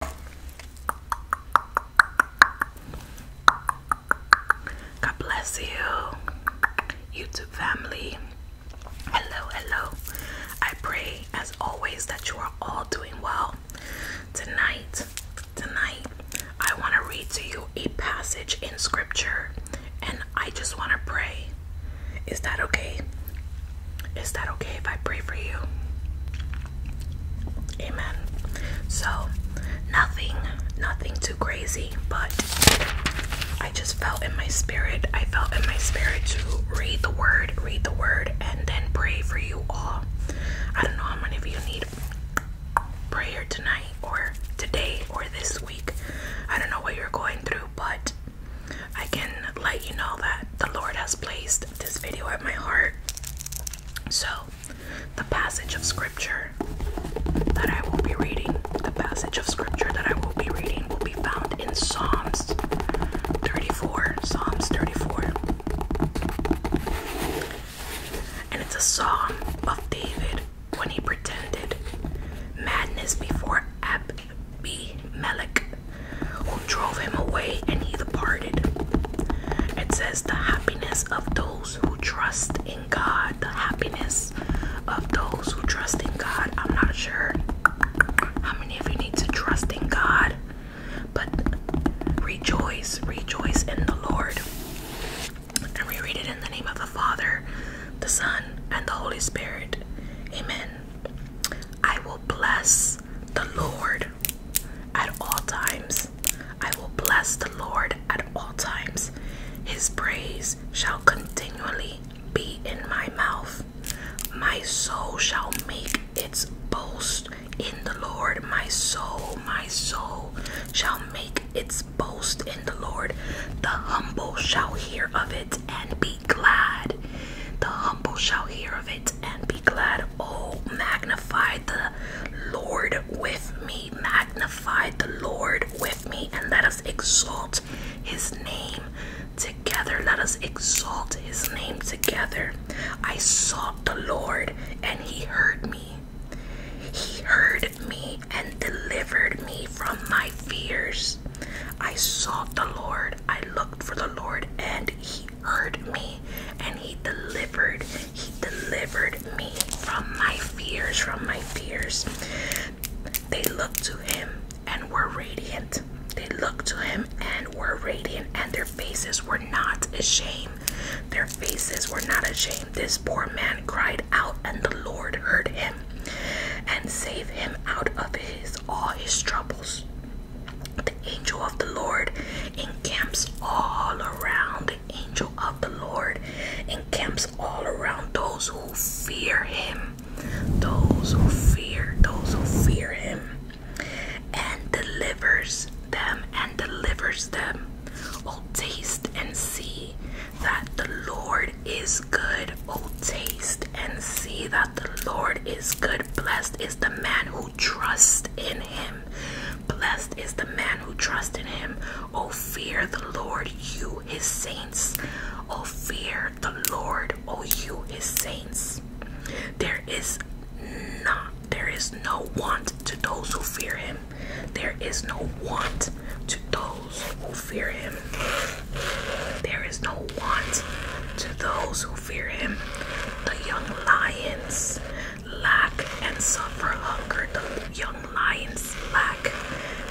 God bless you, YouTube family. Hello, hello. I pray, as always, that you are all doing well. Tonight, tonight, I want to read to you a passage in scripture and I just want to pray. Is that okay? Is that okay if I pray for you? Amen. So, nothing, nothing too crazy, but I just felt in my spirit, I felt in my spirit to read the word, read the word, and then pray for you all. I don't know how many of you need prayer tonight or today or this week. I don't know what you're going through, but I can let you know that the Lord has placed this video at my heart so, the passage of scripture that I will be reading, the passage of scripture that I will be reading will be found in Psalms 34, Psalms 34. And it's a psalm of David when he pretended madness before Abimelech who drove him away and he departed. It says, The happiness of those who trust in God. The happiness of those who trust in God. I'm not sure how many of you need to trust in God, but rejoice, rejoice in the Lord. And we read it in the name of the Father, the Son, and the Holy Spirit. Amen. I will bless the Lord at all times. I will bless the Lord at all times. His praise shall continually be in my mouth. My soul shall make its boast in the Lord. My soul, my soul shall make its boast in the Lord. The humble shall hear of it and be glad. The humble shall hear of it and be glad. Oh, magnify the Lord with me. Magnify the Lord with me, and let us exalt his name together. Let us exalt his name together. I sought the Lord, and he heard me. He heard me and delivered me from my fears. I sought the Lord. I looked for the Lord, and he he heard me and he delivered he delivered me from my fears from my fears they looked to him and were radiant they looked to him and were radiant and their faces were not ashamed their faces were not ashamed this poor man cried out and the lord heard him and saved him out of his all his troubles the angel of the Lord encamps all around. The angel of the Lord encamps all around those who fear him. Those who fear, those who fear him. And delivers them and delivers them. Oh, taste and see that the Lord is good. Oh, taste and see that the Lord is good. Blessed is the man who trust in him. Blessed is the man who trusts in him. Oh, fear the Lord, you his saints. Oh, fear the Lord, oh, you his saints. There is not, there is no want to those who fear him. There is no want to those who fear him. There is no want to those who fear him. The young lions lack and suffer hunger. The young lions lack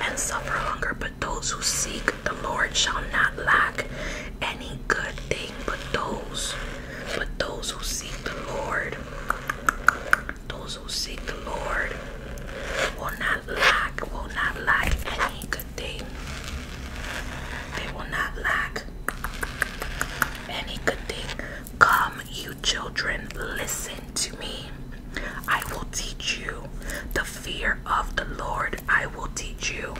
and suffer hunger, but those who seek the Lord shall not lack any good thing. But those, but those who seek the Lord, those who seek the Lord will not lack, will not lack any good they they will not lack any good thing. Come, you children, listen to me. I will teach you the fear of the Lord. I will teach you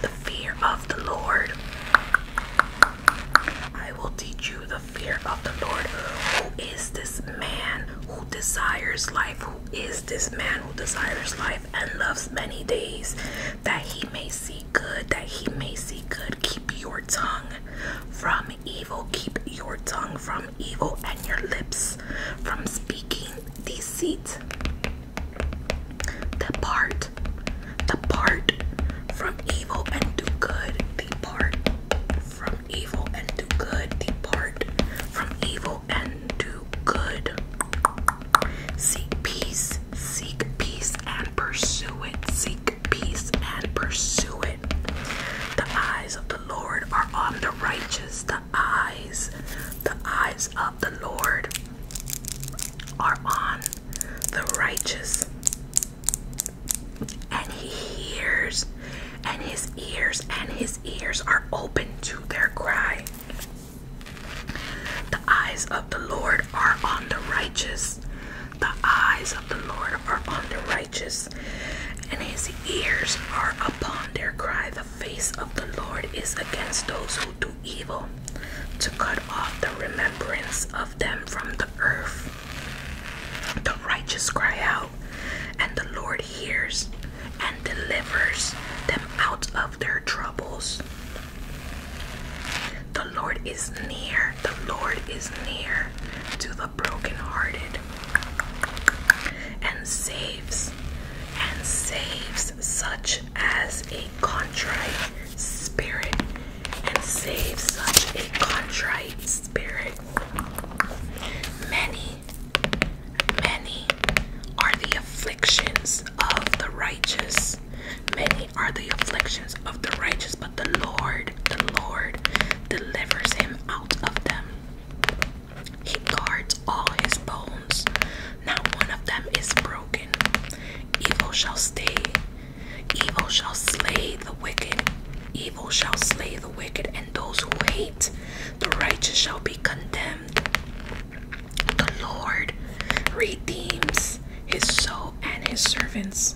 the fear of the Lord. I will teach you the fear of the Lord. Who is this man who desires life? Who is this man who desires life and loves many days? that he may see good, that he may see good. Keep your tongue from evil, keep your tongue from evil, and your lips from speaking deceit. Depart, depart from evil and do good. Depart from evil and do good. Depart from evil and do good. Seek peace, seek peace and pursue it. Seek peace and pursue it. The eyes of the Lord are on the righteous. The eyes, the eyes of the Lord are on the righteous. And he hears, and his ears, and his ears are open to their cry. The eyes of the Lord are on the righteous. The eyes of the Lord are on the righteous, and his ears are upon their cry. The face of the Lord is against those who do evil, to cut off the remembrance of them from the earth. The righteous cry out, and the Lord hears and delivers them out of their troubles. The Lord is near. The Lord is near to the brokenhearted and saves and saves such as a contrite spirit and saves such a contrite spirit. Many, many are the afflictions of the righteous. Many are the afflictions of the righteous, but the Lord, the Lord delivers him out of them. He guards all his bones, not one of them is broken. Evil shall stay, evil shall slay the wicked, evil shall slay the wicked, and those who hate the righteous shall be condemned. The Lord redeems his soul and his servants,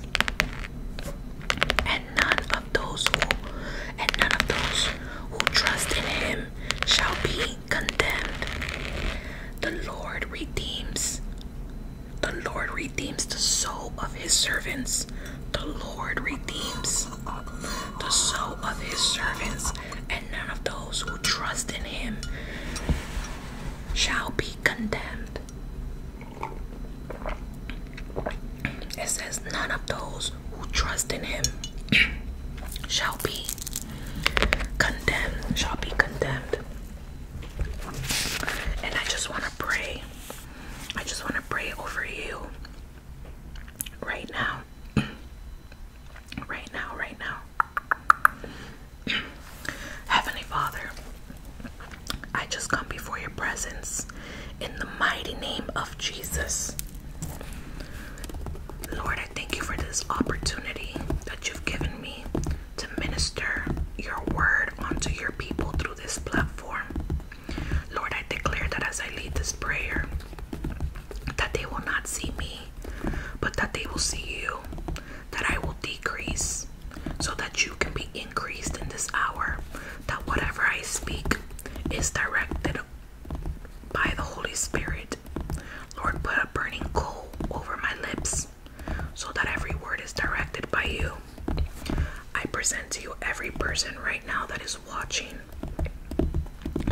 and none of those who and none of those who trust in him shall be condemned. The Lord redeems. The Lord redeems the soul of his servants. The Lord redeems the soul of his servants and none of those who trust in him shall be condemned. It says, None of those who trust in him shall be condemned, shall be condemned. And I just want to pray. I just want to pray over you right now. right now, right now. Heavenly Father, I just come before your presence in the mighty name of Jesus. Lord, I thank you for this opportunity that you've given me to minister your word onto your people through this platform. Lord, I declare that as I lead this prayer, that they will not see me, but that they will see you, that I will decrease, so that you can be increased in this hour, that whatever I speak is directed by the Holy Spirit. Lord, put a burning coal over my lips, so that every word is directed by you. I present to you every person right now that is watching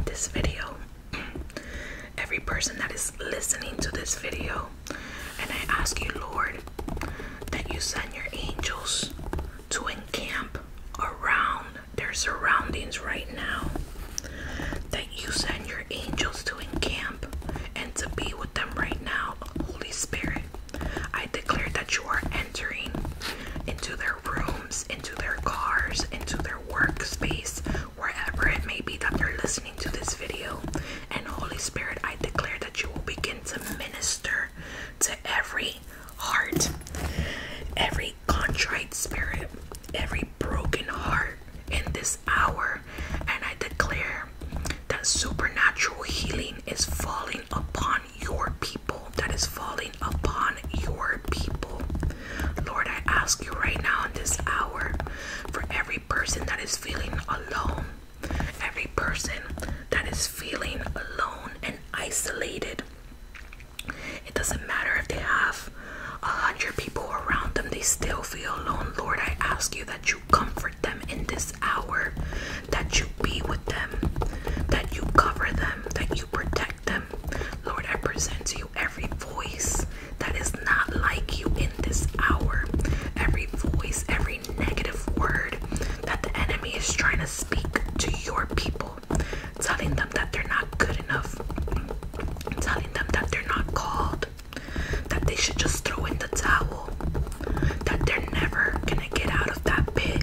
this video every person that is listening to this video. And I ask you, Lord, that you send your angels to encamp around their surroundings right now. That you send your angels to encamp and to be with them right now, Holy Spirit. I declare that you are entering into their rooms, into their cars, into their workspace, wherever it may be that they're listening to this video. And Holy Spirit, I declare that you will begin to minister to every heart, every contrite spirit, every broken heart in this hour. And I declare that supernatural healing is falling upon your people, that is falling upon your people. Lord, I ask you right now in this hour for every person that is feeling alone, every person that is feeling alone and isolated. It doesn't matter if they have a hundred people around them, they still feel alone. Lord, I ask you that you comfort them in this hour, that you be with them, that you cover them, that you protect them Lord, I present to you every voice that is not like you in this hour. Every voice, every negative word that the enemy is trying to speak to your people, telling them that they're not good enough, telling them that they're not called, that they should just throw in the towel, that they're never gonna get out of that pit,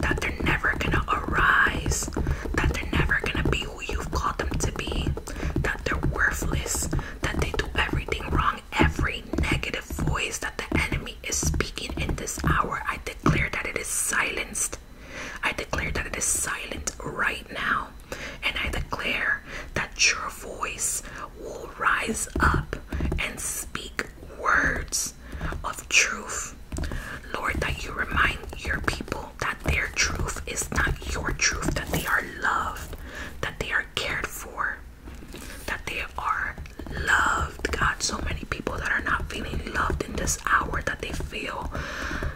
that they're never gonna arise, that they're never gonna be who you've called them to be, that they're worthless, that they do everything wrong. Every negative voice that the enemy is speaking in this hour, I declare that it is silenced. I declare that it is silent right now. And I declare that your voice will rise up and speak words of truth Lord, that you remind your people that their truth is not your truth, that they are loved, that they are cared for, that they are loved. God, so many people that are not feeling loved in this hour, that they feel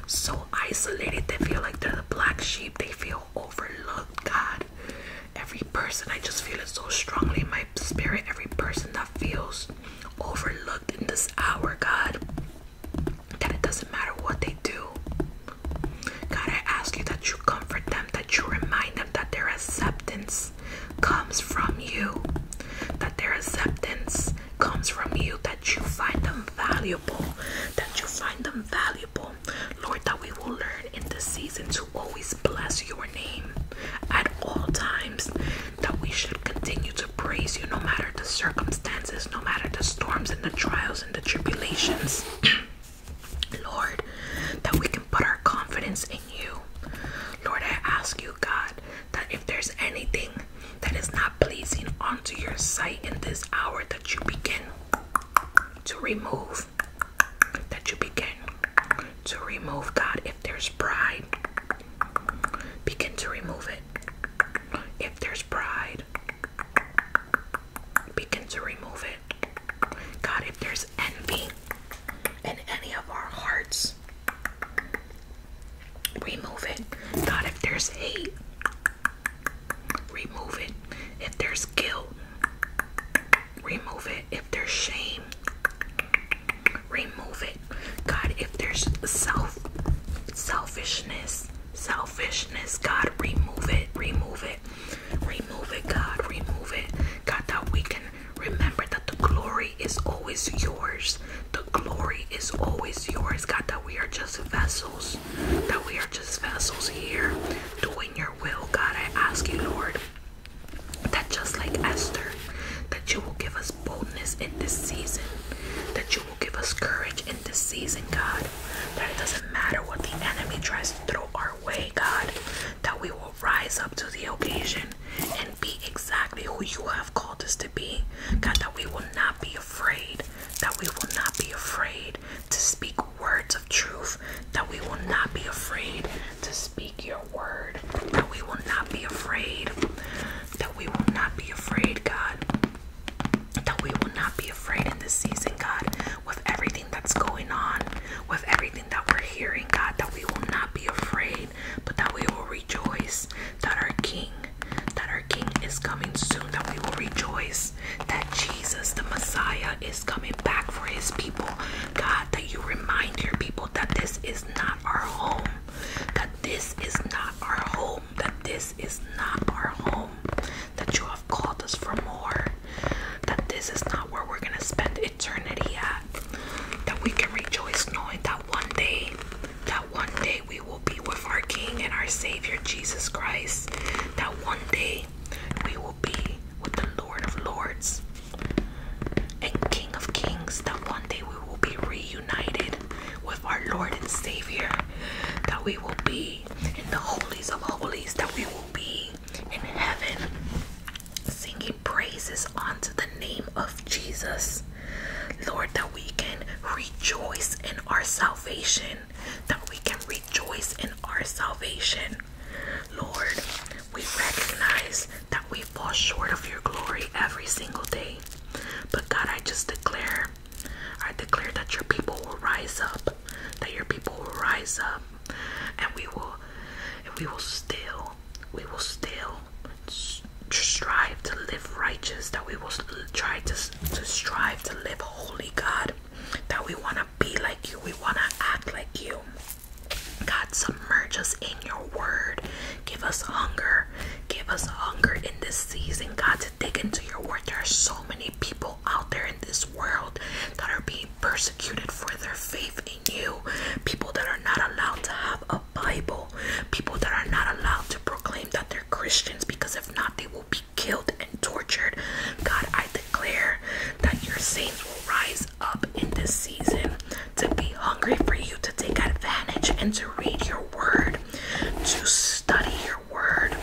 so isolated, they feel like they're the black sheep, they feel overlooked, God. Every person, I just feel it so strongly in my spirit. Every person that feels overlooked in this hour, God, that it doesn't matter what they do. God, I ask you that you comfort them, that you remind them that their acceptance comes from you, that their acceptance comes from you, that you find them valuable, that you find them valuable. Lord, that we will learn in this season to always bless your name at all times, that we should continue to praise you no matter the circumstances, no matter the storms and the trials and the tribulations. Lord, that we can put our confidence in you. Lord, I ask you, God, that if there's anything that is not pleasing unto your sight in this hour, that you begin to remove. That you begin to remove, God, if there's pride, Begin to remove it. If there's pride, begin to remove it. God, if there's envy in any of our hearts, remove it. God, if there's hate, remove it. If there's guilt, remove it. If there's shame, remove it god if there's self selfishness selfishness god remove it remove it remove it god remove it god that we can remember that the glory is always yours the glory is always yours god that we are just vessels that we are just vessels here doing your will god i ask you lord that just like esther that you will give us boldness in this season. That you will give us courage in this season, God. That it doesn't matter what the enemy tries to throw our way, God. That we will rise up to the occasion and be exactly who you have called us to be. God, that we will not be afraid. That we will not be afraid to speak words of truth. That we will not be afraid to speak your word. That we will not be afraid that we will not be afraid, God. That we will not be afraid in this season, God, with everything that's going on, with everything that we're hearing, God, that we will not be afraid, but that we will rejoice that our King, that our King is coming soon, that we will rejoice that Jesus, the Messiah, is coming back for his people. God, that you remind your people that this is not our home, that this is not our home, that this is not our home, that you have called us for more, that this is not where we're gonna spend eternity at, that we can rejoice knowing that one day, that one day we will be with our King and our Savior Jesus Christ, that one day we will be with the Lord of Lords and King of Kings, that one day we will be reunited united with our Lord and Savior, that we will be in the holies of holies, that we will be in heaven singing praises unto the name of Jesus. Lord, that we can rejoice in our salvation, that we can rejoice in our salvation. Lord, we recognize that we fall short of your glory every single day. But God, I just declare, I declare that your people will rise up, that your people will rise up, and we will, and we will still, we will still strive to live righteous, that we will try to, to strive to live holy, God, that we want to be like you, we want to act like you. God, submerge us in your word, Give us hunger. Give us hunger in this season, God, to dig into your word. There are so many people out there in this world that are being persecuted for their faith in you. People that are not allowed to have a Bible. People that are not allowed to proclaim that they're Christians because if not, they will be killed and tortured. God, I declare that your saints will rise up in this season to be hungry for you, to take advantage and to read your word, to study your word.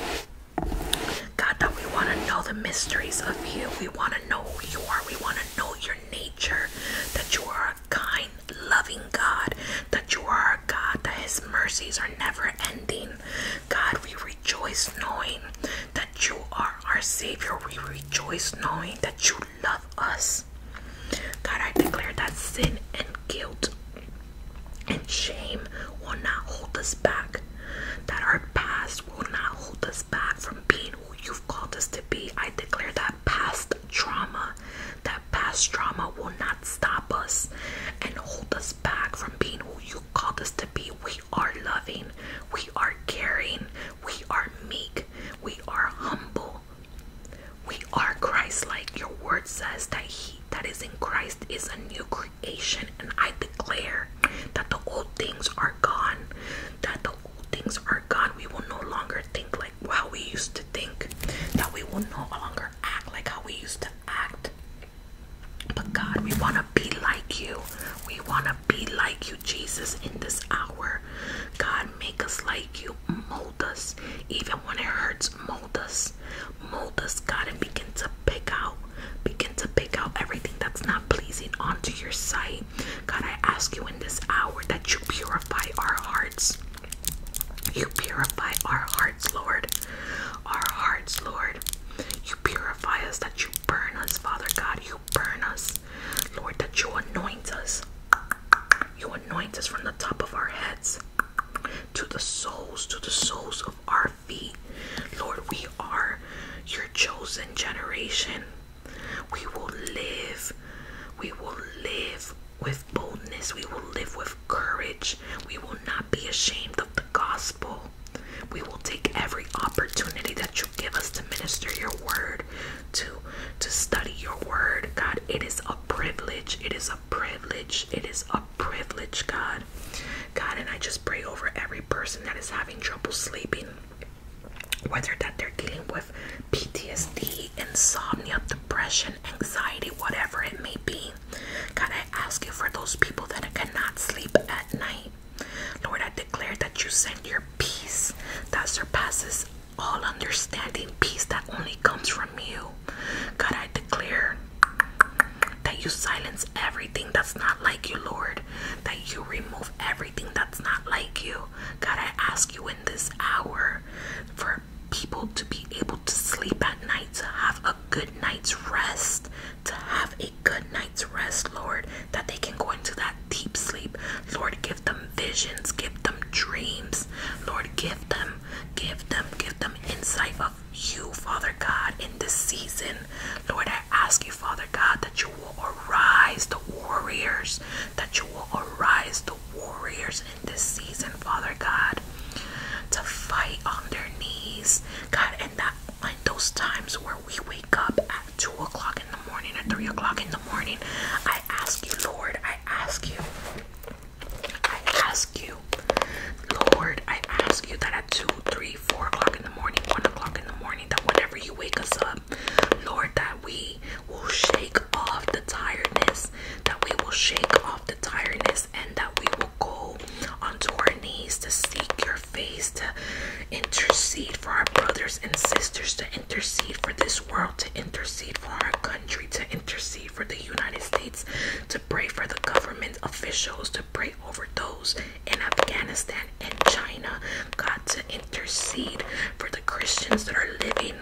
God, that we want to know the mysteries of you. We want to know who you are. We want to know your nature, that you are a kind, loving God, that you are a God, that his mercies are never ending. God, we rejoice knowing that you are our Savior. We rejoice knowing that you love us. God, I declare that sin and guilt and shame will not hold us back. That our past will not hold us back from being who you've called us to be. I declare that past trauma, that past trauma will not stop us and hold us back from being who you called us to be. We are loving, we are caring, we are meek, we are humble, we are Christ like. Your word says that he that is in Christ is a new creation, and I declare that the old things are gone. That the old things are gone. We will no longer think like how we used to think, that we will no longer act like how we used to act. But God, we want to be like you. We want to be like you, Jesus, in this hour. God, make us like you mold us. Even when it hurts, mold us. Mold us, God, and begin to pick out. Begin to pick out everything that's not pleasing unto your sight. God, I ask you in this hour that you purify our hearts. You purify our hearts, Lord. Our hearts, Lord. You purify us, that you burn us, Father God. You burn us, Lord, that you anoint us. You anoint us from the top of our heads to the soles, to the soles of our feet. Lord, we are your chosen generation. We will live. We will live with boldness. We will live with courage. We will not be ashamed of the gospel. We will take every opportunity that you give us to minister your word to to study your word, God. It is a privilege. It is a privilege. It is a privilege, God. God, and I just pray over every person that is having trouble sleeping, whether that they're dealing with PTSD, insomnia, depression, anxiety, whatever it may be. God, I ask you for those people that cannot sleep at night. Lord, I declare that you send your peace that surpasses all understanding peace that only comes from you. God, I declare that you silence everything that's not like you, Lord, that you remove everything that's not like you. God, I ask you in this hour for people to be able to sleep at night, to have a good night's rest, to have a good night's rest, Lord, that they can go into that deep sleep. Lord, give them visions, give them dreams. Lord, give them, give them, give them insight of you, Father God, in this season. Lord, I ask you, Father God, that you will arise the warriors, that you will arise the warriors in this season, Father God, to fight on their knees, God, and that in those times where we wake up at 2 o'clock in the morning or 3 o'clock in the morning, I I ask you, Lord, I ask you, I ask you, Lord, I ask you that at 2, 3, 4 o'clock in the morning, 1 o'clock in the morning, that whenever you wake us up, Lord, that we will shake off the tiredness, that we will shake off the tiredness, and that we will go onto our knees to seek your face, to intercede for our brothers and sisters, to intercede for this world, to intercede for our country, to intercede for the United States, to pray for the government officials, to pray over those in Afghanistan and China. God, to intercede for the Christians that are living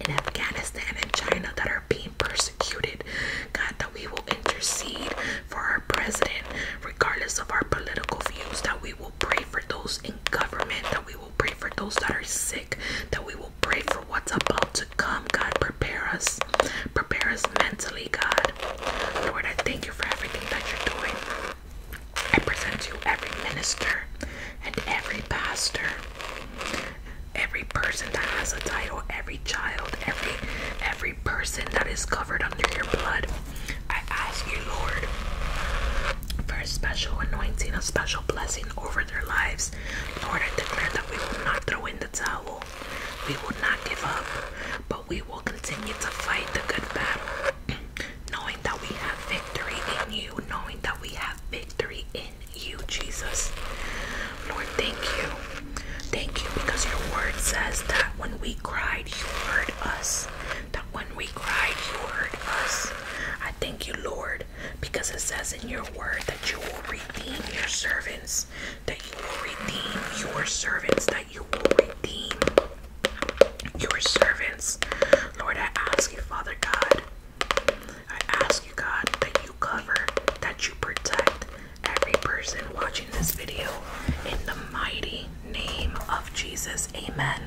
in Afghanistan and China that are being persecuted. God, that we will intercede for our president, regardless of our political views, that we will pray for those in government, that we will pray for those that are sick, that we will pray for what's about to come. God, prepare us. Prepare us mentally, God. Lord, I thank you for everything that you're doing. I present you every minister and every pastor, every person that has a title, every child, every every person that is covered under your blood. I ask you, Lord, for a special anointing, a special blessing over their lives. Lord, I declare that we will not throw in the towel. We will not give up, but we will continue to fight the good battle, knowing that we have victory in you, knowing that we have victory in you, Jesus. Lord, thank you. Thank you because your word says that when we cried, you heard us that when we cried, you heard us. I thank you, Lord, because it says in your word that you will redeem your servants, that you will redeem your servants, that you will redeem your servants. Lord, I ask you, Father God, I ask you, God, that you cover, that you protect every person watching this video in the mighty name of Jesus. Amen.